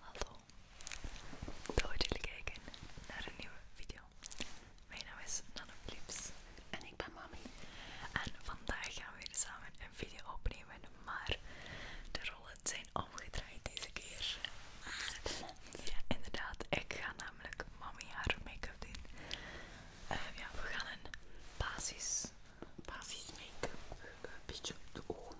Hallo, leuk dat jullie kijken naar een nieuwe video. Mijn naam is Nanoflips en ik ben Mami. En vandaag gaan we weer samen een video opnemen, maar de rollen zijn omgedraaid deze keer. Ja, inderdaad, ik ga namelijk Mami haar make-up doen. Eh, ja, we gaan een basis, basis make-up, eh, een beetje op de ogen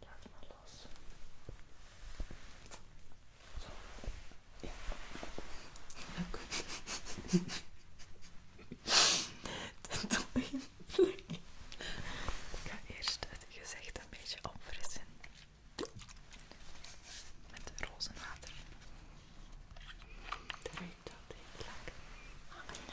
Laat het maar los. Leuk. Ik ga eerst het gezicht een beetje opfrissen. Met rozenwater. Dat ruikt ah, altijd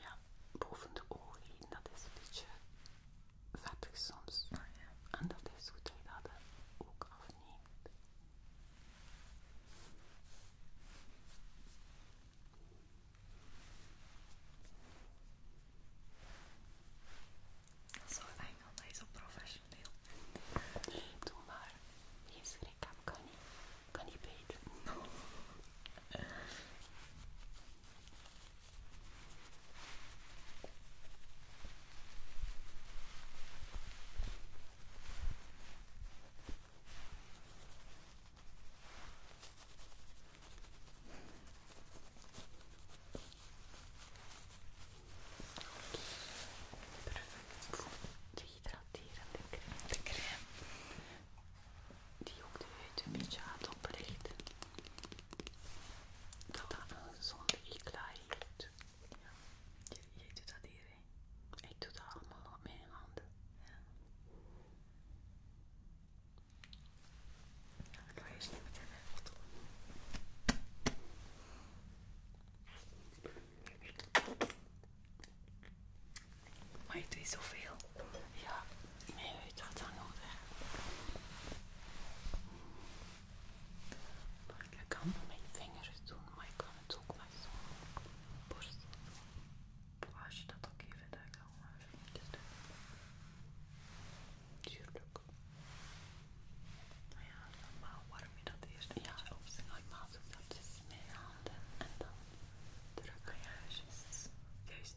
Ja, boven de ogen heen, dat is een beetje vettig soms. Oh, en dat is goed dat je ook afneemt. Zo enkel, dat is zo professioneel. Doe maar, geen schrik kan niet, kan niet niet. Perfect. Dehydraterende crème. De crème die ook de huid een beetje aan het oplichten. Dat dat een zonde iklaai heeft. Ja. doet dat hier, hè? Ik doe dat allemaal met mijn handen. Ja. ik ga eerst niet meteen maar je doet zoveel. Ja, Meer uit dat dan nodig. Maar ik kan mijn vingers doen, maar ik kan het ook met zo'n borst doen. Als je dat ook even daar mijn eh, vingertjes doen. Tuurlijk. Nou ja, normaal warm je dat eerst ja, op. Normaal doe ik dat dus met handen en dan druk je juist. Juist.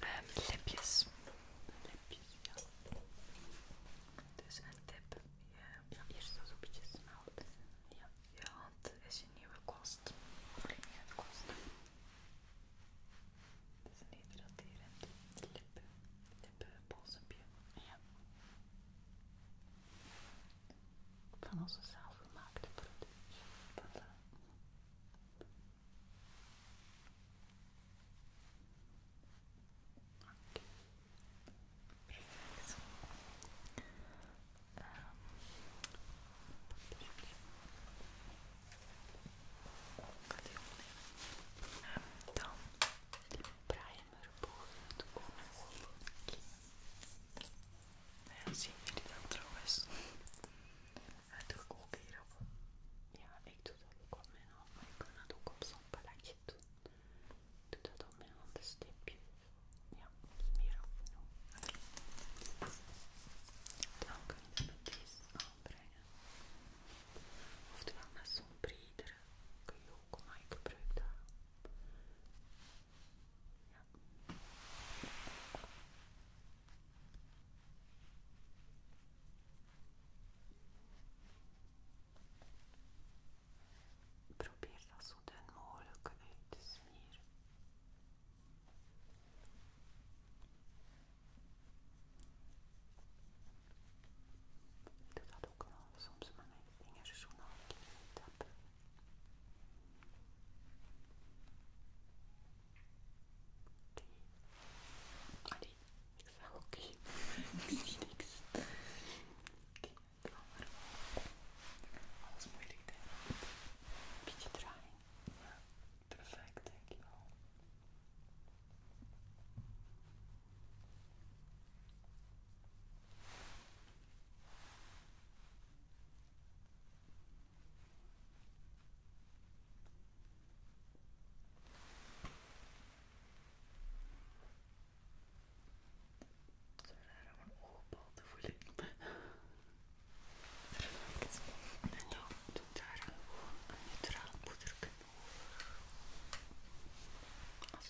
Um, lipjes. Lipjes, ja. Dus een tip. Je eh, ja. eerst zo een beetje smelt. Ja. Je hand is een nieuwe kost. Je gaat kosten. Het is een hydraterend lip. lip dit uh, Van onze zelfgemaakte producten. Voilà. Perfect. Um, dan Brian schermer boven het ooghoekje. dat trouwens? Dat doe ik ook hierop. Ja, ik doe dat ook op mijn hand, maar je kan dat ook op zo'n paletje doen. Ik doe dat op mijn hand, een stipje. Ja, meer en toe. Dan kun je dat met deze aanbrengen. Oftewel met zo'n bredere kun je ook, maar ik gebruik dat Probeer dat zo dun mogelijk uit te smeren nad okno, som så många pengar så ik har knutat. Allez, ça ok. Xinix. Alles moeilijk denk ik. Beetje draaien. Ja, perfect dankjewel. Zo raar om een te voelen. En dan daar gewoon een neutraal poederje over.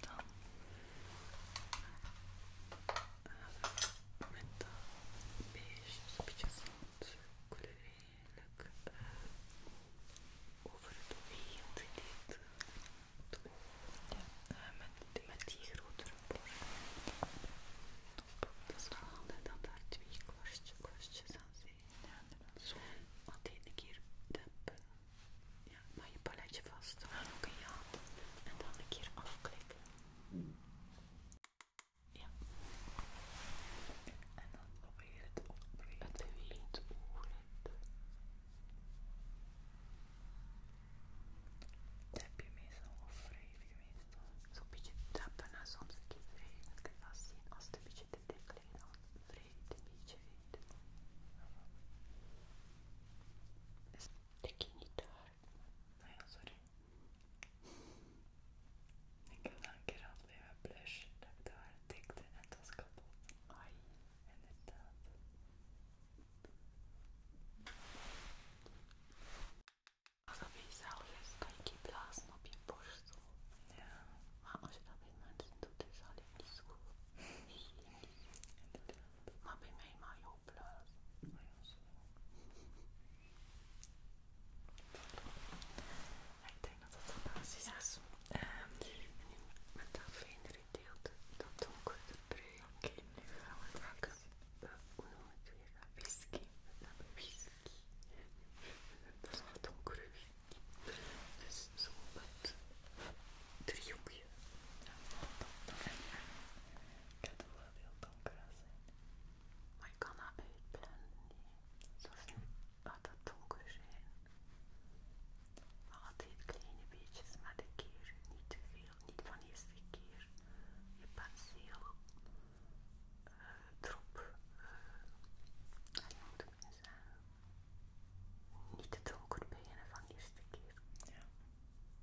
Dan met dat beestjes een beetje zand, kleurlijk over het oog dit. met, die, met die grotere borst. Top. Dat is dan daar twee korstjes aan zijn. Zo. de ene keer de ja, maar je paletje vast. Hou ook En dan een keer afklikken. Ja. En dan probeer het opbreken. Het beweegt oren. Tap je meestal of wrijf je meestal? Zo'n beetje tappen en soms een beetje wrijven. Dat je Als het een beetje te dik ligt, dan wrijf het een beetje uit ik heb nou een keer altijd bij mijn blush dat ik daar tikte en het was kapot. Ai, inderdaad. Als dat bij jezelf is, kan je die blazen op je borst toe, Ja. Maar als je dat bij mensen doet, is dat niet zo goed. Maar bij mij mag je opblazen. Ik denk dat dat de basis is. Um, en nu met dat fijnere deel, dat donkere brui. Oké, nu het eh, Whisky. We whisky. Dat is donkere whisky. Dus zo met ik. Ik het wel heel donker zijn. Maar ik kan dat uitblenden. Zoals niet gaat dat donker zijn. Altijd kleine beetjes, maar de keer niet te veel. Niet van eerste keer. Je penseel heel drop. Uh, moet ik nu Niet te donker beginnen van de eerste keer. Ja.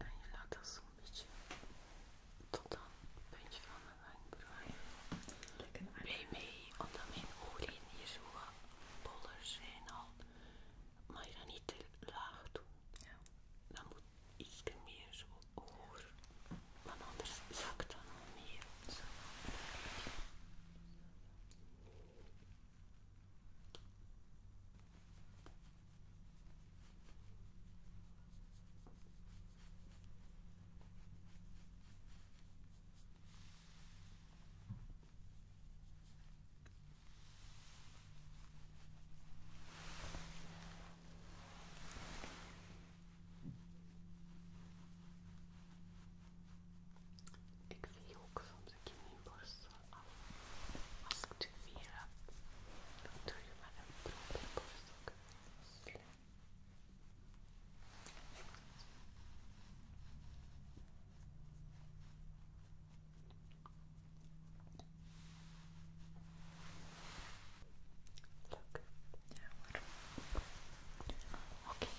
En je laat dat zo'n beetje tot aan het puntje van mijn wenkbrauw. Blij mee, omdat mijn ogen hier zo boller zijn al. Maar je dan niet te laag doen. Ja iets meer zo hoger, want anders zakt dan al meer. Ik vlieg ook soms een kinderborstel af. Als ik te veel heb, dan doe je maar een probeerborstel. Ja hoor. Oké.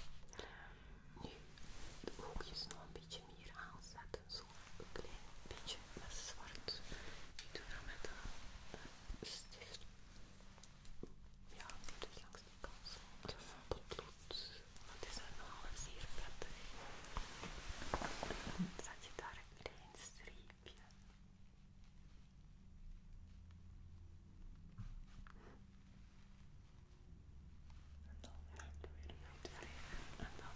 Nu de oogjes nog een beetje meer aanzetten. Zo een klein beetje met zwart. Ik doe dat met een stift. Ja, dus langs de kant. Het is een potlood. Het is zeer zet je daar een klein streepje lipje. En dan weer doe je en dan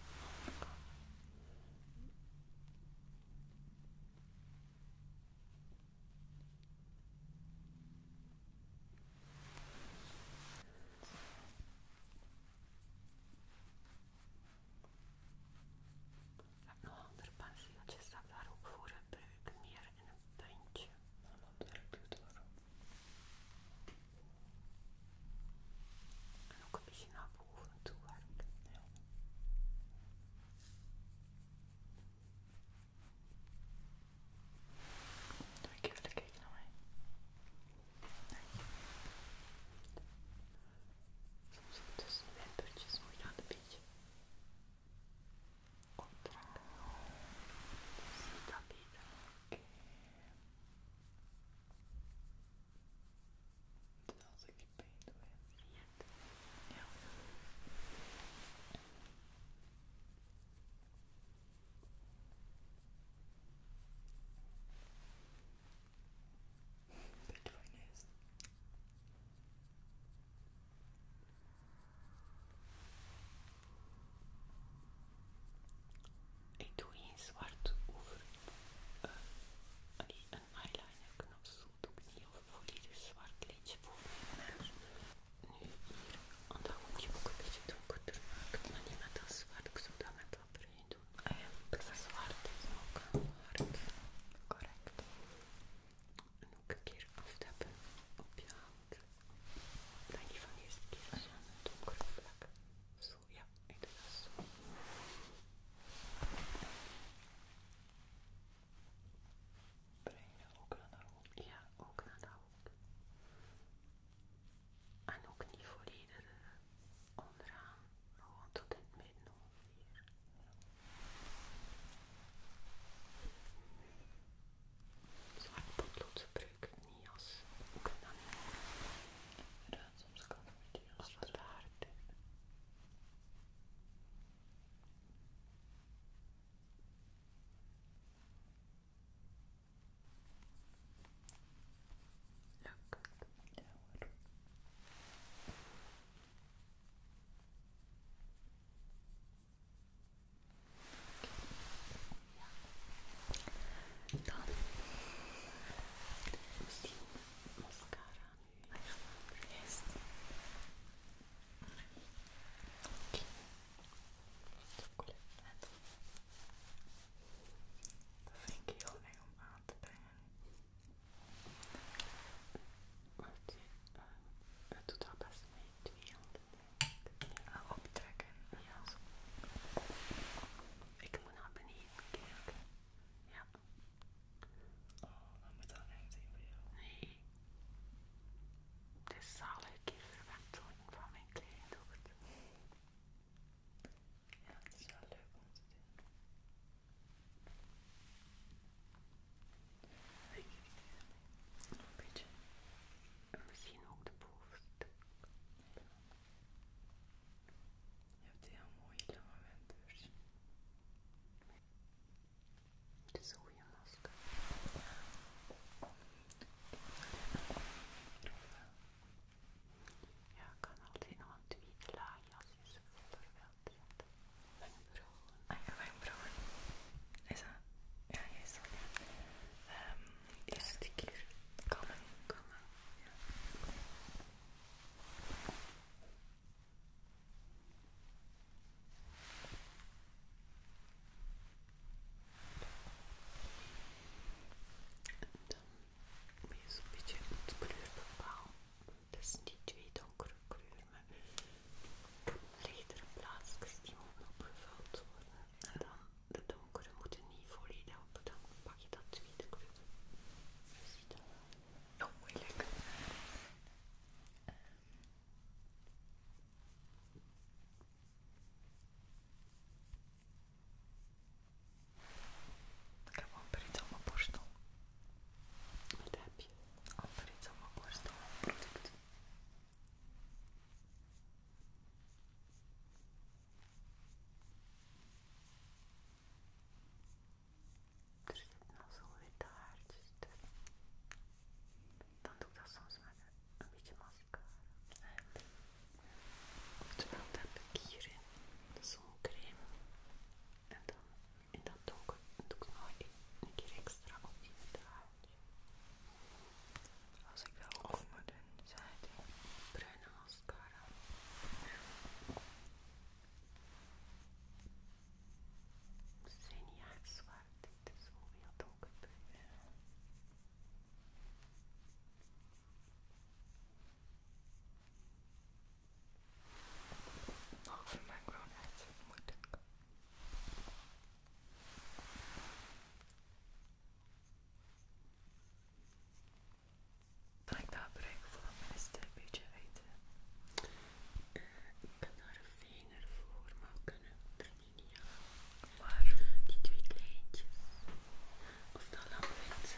heb nog andere pensieltjes, dat daar ook ik gebruiken, hier in een puntje. Een andere kleur. En ook een beetje naar boven toe werken. Ja. Doe ik even kijken naar mij. Nee. Soms zit tussen de puntjes moet je aan de beetje optrekken. zie dat Als ik pijn doe, Ja. Beetje ik doe een zwart over eh, een eyeliner knop, zo doe ik niet, een volledig zwart lijntje voor. mijn neus. Nu hier, want moet ook een beetje donkerder maken, maar niet met dat zwart, ik zou dat met dat brein doen. Eh, ik ja, zwart is ook hard, correct. En ook een keer aftappen op je hand. Dat je van eerste keer een donkere vlak. Zo, ja, ik doe dat zo. Breng je ook naar de hoek? Ja, ook naar de hoek. En ook niet volledig eh, onderaan, gewoon tot in het midden Zwarte potlood gebruik niet als ik kan soms kan het niet wat Ja hoor. Dan misschien mascara nu echt. Oké. Dat vind ik heel eng het doet al best mee, twee handen optrekken. Ja, Ik moet naar beneden kijken. Ja. Oh, dan moet dat echt zien voor jou. Nee. Het is zalige verwenteling van mijn kleindochter. Ja, dat is wel leuk om te doen. Een beetje. En misschien ook de bovenste. Je hebt heel mooie lange wenders. Het is een masker. Ja, kan altijd nog een tweede laagje als je ze ik Ah mijn broer. Is dat? Ja, jij is dat. Um, eerste keer. Kammen. komen, Ja. dan moet je zo'n beetje te bepalen. Dus die twee donkere kleuren. Met lichtere plaatsjes die moeten opgevuld worden. En dan de donkere moeten niet volledig op. Dan pak je dat tweede kleur. Je ziet dat wel. Oh, moeilijk. Ehm, ik heb een pret op mijn borstel. Daar heb je amper iets op mijn borstel product. Er zit nog zo'n witte haartjes tussen. Dan doe ik dat soms met een beetje mascara. Oftewel, dat heb ik hierin de zoncrème en dan en dat doe ik, doe ik nog een keer extra op je Als ik wel over moet doen, zei hij. Bruine mascara. Ze zijn niet echt zwart, dit is gewoon heel donkerpuur. Mag voor mijn moeilijk. Kan ik daar gebruiken voor dat mensen een beetje eten? ik kan daar een vinger voor, maar we kunnen er niet aan. Waar? Die twee kleintjes. Of dat lampet. Die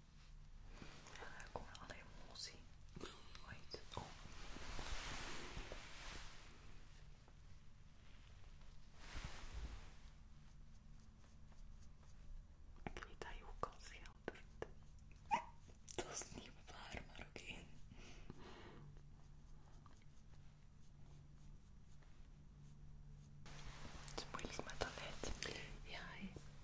Ja, daar komen alle emotie ooit Ik weet dat je ook al schildert. Dat is niet waar, maar oké. Het is moeilijk met het led. Ja,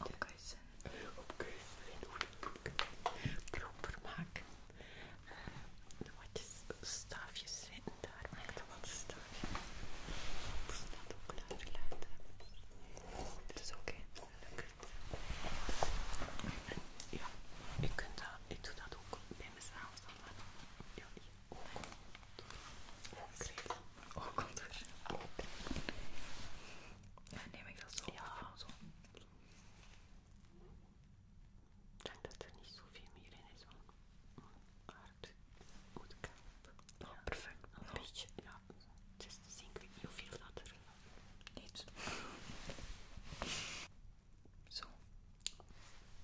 opkuisen. Opkuisen. Proper maken. Uh, eh, de watjes, staafjes zitten daar. Maak wat staafjes. Dus dat ook later laten. Dat is oké. Ja, ik, kunt dat, ik doe dat ook bij mezelf. Dan. Ja, Ook. Oh, oogcontour. Oh, ja, neem ik dat zo? Ja. Zo. Ik denk dat er niet zoveel meer in is, want Goed hart moet perfect. Een ja. beetje. Ja. Het is te zien, ik weet hoeveel dat er Zo.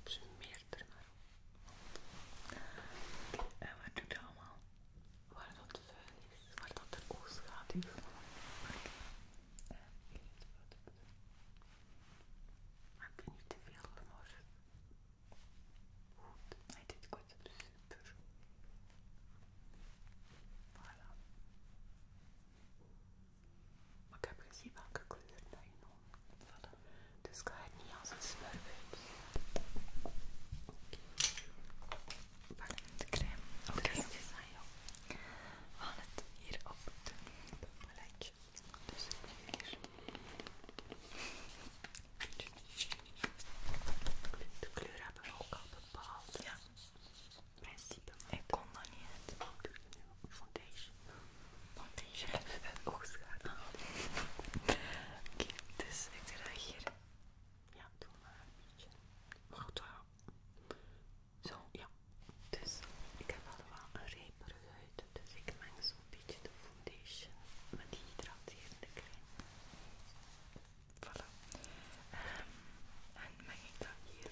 Smeert er maar op. En wat doet dat allemaal? waar dat vuil is, waar dat er oogschaduw gaat maakt. Maak je niet te veel humor. Goed, hij deed goed, super. Voilà. Maar ik heb gezien welke kleuren dat je noemt. Voilà. Dus ga het niet als een smurf Pak de crème. Oké. Okay. We gaan het hier op de paletje. Dus hier. De kleur hebben we ook al bepaald. Ja. principe. Ik kon dat niet het nu foundation. Foundation. Oogschaduw. Oké, dus ik draag hier ja, doe maar een beetje. Maar goed, eh, Zo, ja. Dus ik heb al wel een rijperige huid, dus ik meng zo'n beetje de foundation met die hydraterende crème. Voilà. Ehm, en meng ik dat hier?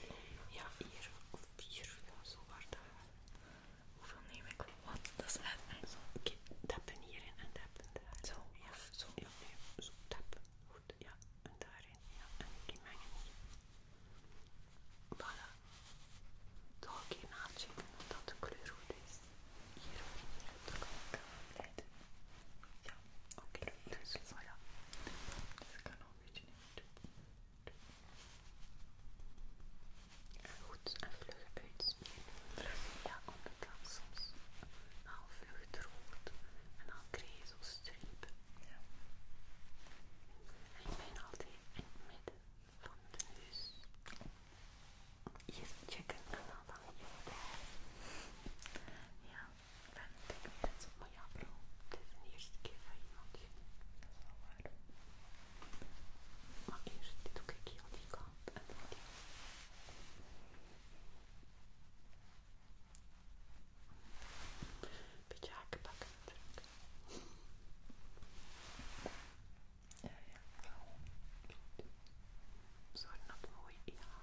Ja, hier of vier ja, zo waarde. Hoeveel neem ik? Wat? Dat is eng Zo, dat heb tappen hierin en tappen daar. Zo, ja. Zo, ja, nee. Zo, tap. Goed, ja. En daarin, ja. En die mengen hier. Voilà. Toch een keer nachecken of dat de kleur goed is. Hier ook hier op Ja, oké. Dus, voilà. Dus ik kan nog een beetje niet. goed, en vlug Ja, Vlug, het onderkant soms al vluchtrood en al krezelstreep. streep. En ik ben altijd in het midden van de neus. Je checken en dan van je Ja, ik ben het maar ja bro, het is de eerste keer van je Dat is wel waar. ook eerst doe ik die kant en dan die. Beetje hakenbakken natuurlijk. Ja, ja, dat mooi Ja.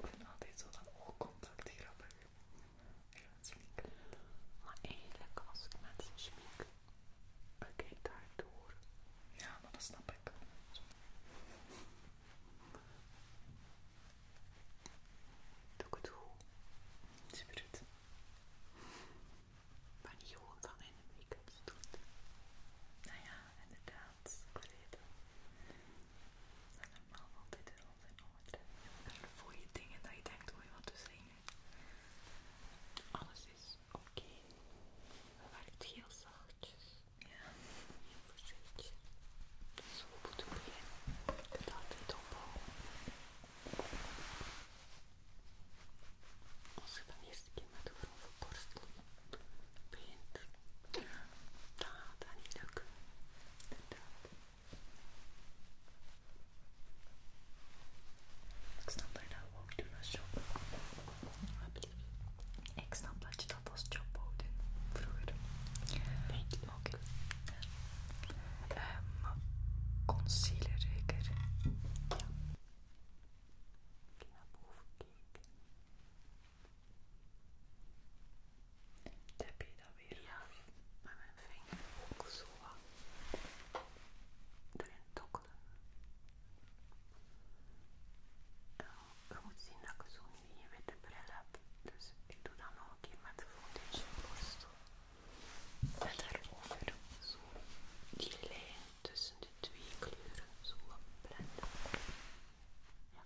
Ik vind altijd zo dat maar eigenlijk als ik mensen smink, ik kijk door. Ja, dan dat snap ik. Doe ik het goed. je het? niet gewoon van in de make-up doet. Nou ja, inderdaad. Ik weet normaal valt dit altijd in orde. En voel je dingen dat je denkt, je wat te zeggen. Alles is oké. Het werkt heel zachtjes. Ja. Heel voorzichtig. Zo moet het beginnen. Je het altijd Als je van eerst eerste keer met een borstel begint, gaat niet ik snap dat je dat ook als job. Ik snap dat je dat als vroeger. Oké. Okay. Ehm, concealer zeker. Ja. Ik naar boven kijken. Tap je dan weer ja. met mijn vinger ook zo wat erin tokkelen. Nou, eh, je moet zien dat ik zo'n witte bril heb, dus ik doe dat nog een keer met de foundation borstel. En over zo die lijn tussen de twee kleuren zo blenden. Ja.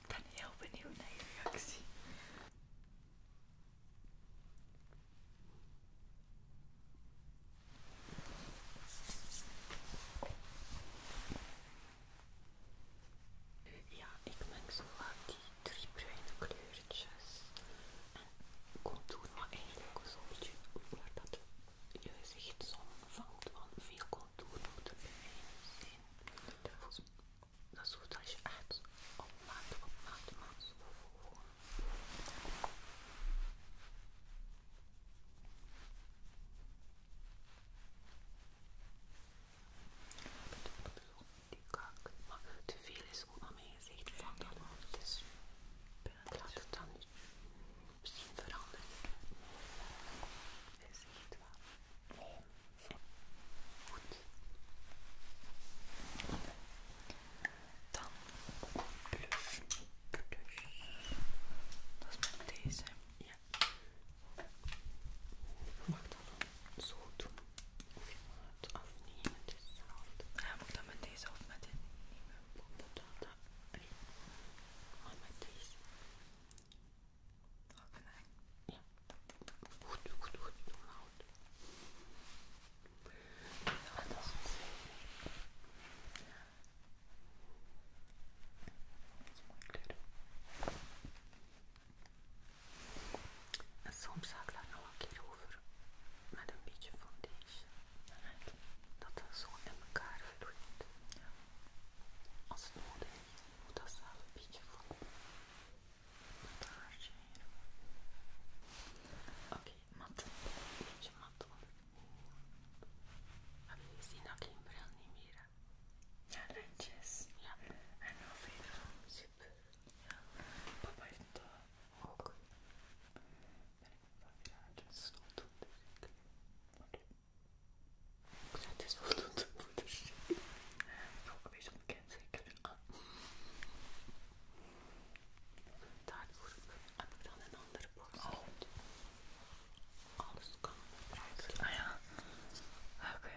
Ik ben heel benieuwd naar je reactie. Ja, ik meng zo wat die drie bruine kleurtjes contour, maar eigenlijk een zonnetje waar dat je gezicht zo vangt, want veel contour moet er zijn. Dat zorgt goed als je echt op maat, op maat, maat zo die kak, maar te veel is ook aan mijn gezicht van het is punt. Laat het dan niet misschien veranderen. Is het wel? Oh, Goed. Dan plus, plus. Dat is met deze. Ja. Je mag dat dan zo doen. Of je mag het afnemen. Ja, moet ik dan met deze of met dit nieuwe poppeldata? dat maar met deze. Ook van mij. Ja. Goed, goed, goed. goed. Ja, dat is het. Dat is een kleur. En soms ga ik daar nog een keer met een beetje foundation. Dat dat zo in elkaar vloeit. Als het nodig is, moet dat zelf een beetje voelen. Met haartje hier. Oké, matte, mat. Een beetje mat hoor. Heb je gezien dat ik geen bril niet meer heb? Ja, lentjes. Ja. En nog verder. Super. Ja. Papa heeft het ook ben ik wel je aan het snotten, dus ik... Ja, het is voldoende moeders. Ook een beetje onbekend, zeker. Ah. Daarvoor heb ik dan een andere box. Oh. Ah, Alles dus kan Ah ja. Oké. Oké,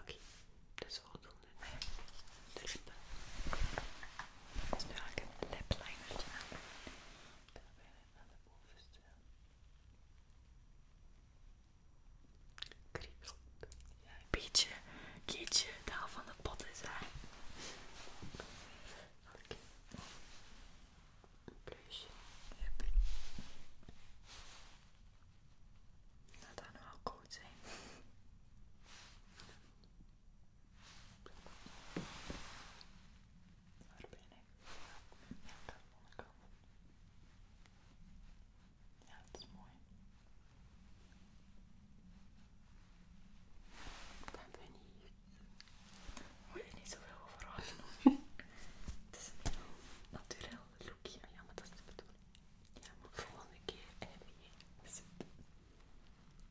okay. dat is voldoende. Ah nee is nu eigenlijk een lip linertje aan. Ik de bovenste. Ja, daar van de pot is hij. Oké. Een dat nou wel koud zijn ben ik? Ja, dat is mooi. Dat ben ik. Moet je niet zoveel over houden. het is een heel natuurlijk lookje. Ja, maar dat is de bedoeling. Ja, maar volgende keer heb zit.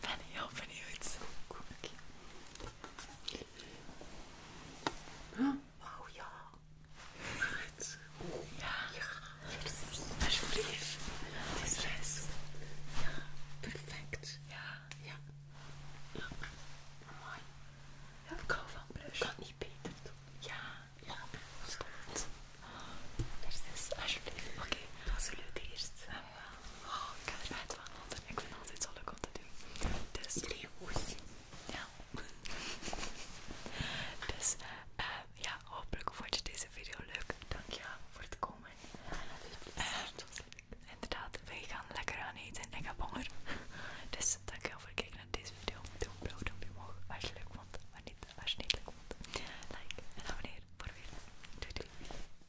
ben al benieuwd. Huh? Wauw, ja. Goed. Ja. Ja. Alsjeblieft. Dit is Ja. Perfect. Ja. Ja. ik hou van blush. Kan niet beter doen. Ja. Ja. Spannend. Yes, alsjeblieft. Oké. Dat was een leuke Oh, ik kan het uit ik vind het altijd zo leuk om te doen. Dus, Ja. dus eh, ja, hopelijk vond je deze video leuk. dank je voor het komen. leuk. Eh, inderdaad, wij gaan lekker aan eten. Ik heb honger. Dus dankjewel voor het kijken naar deze video. Doe een blauw duimpje omhoog als je leuk vond. Maar niet als je niet leuk vond. Like en abonneer voor weer. Doei doei.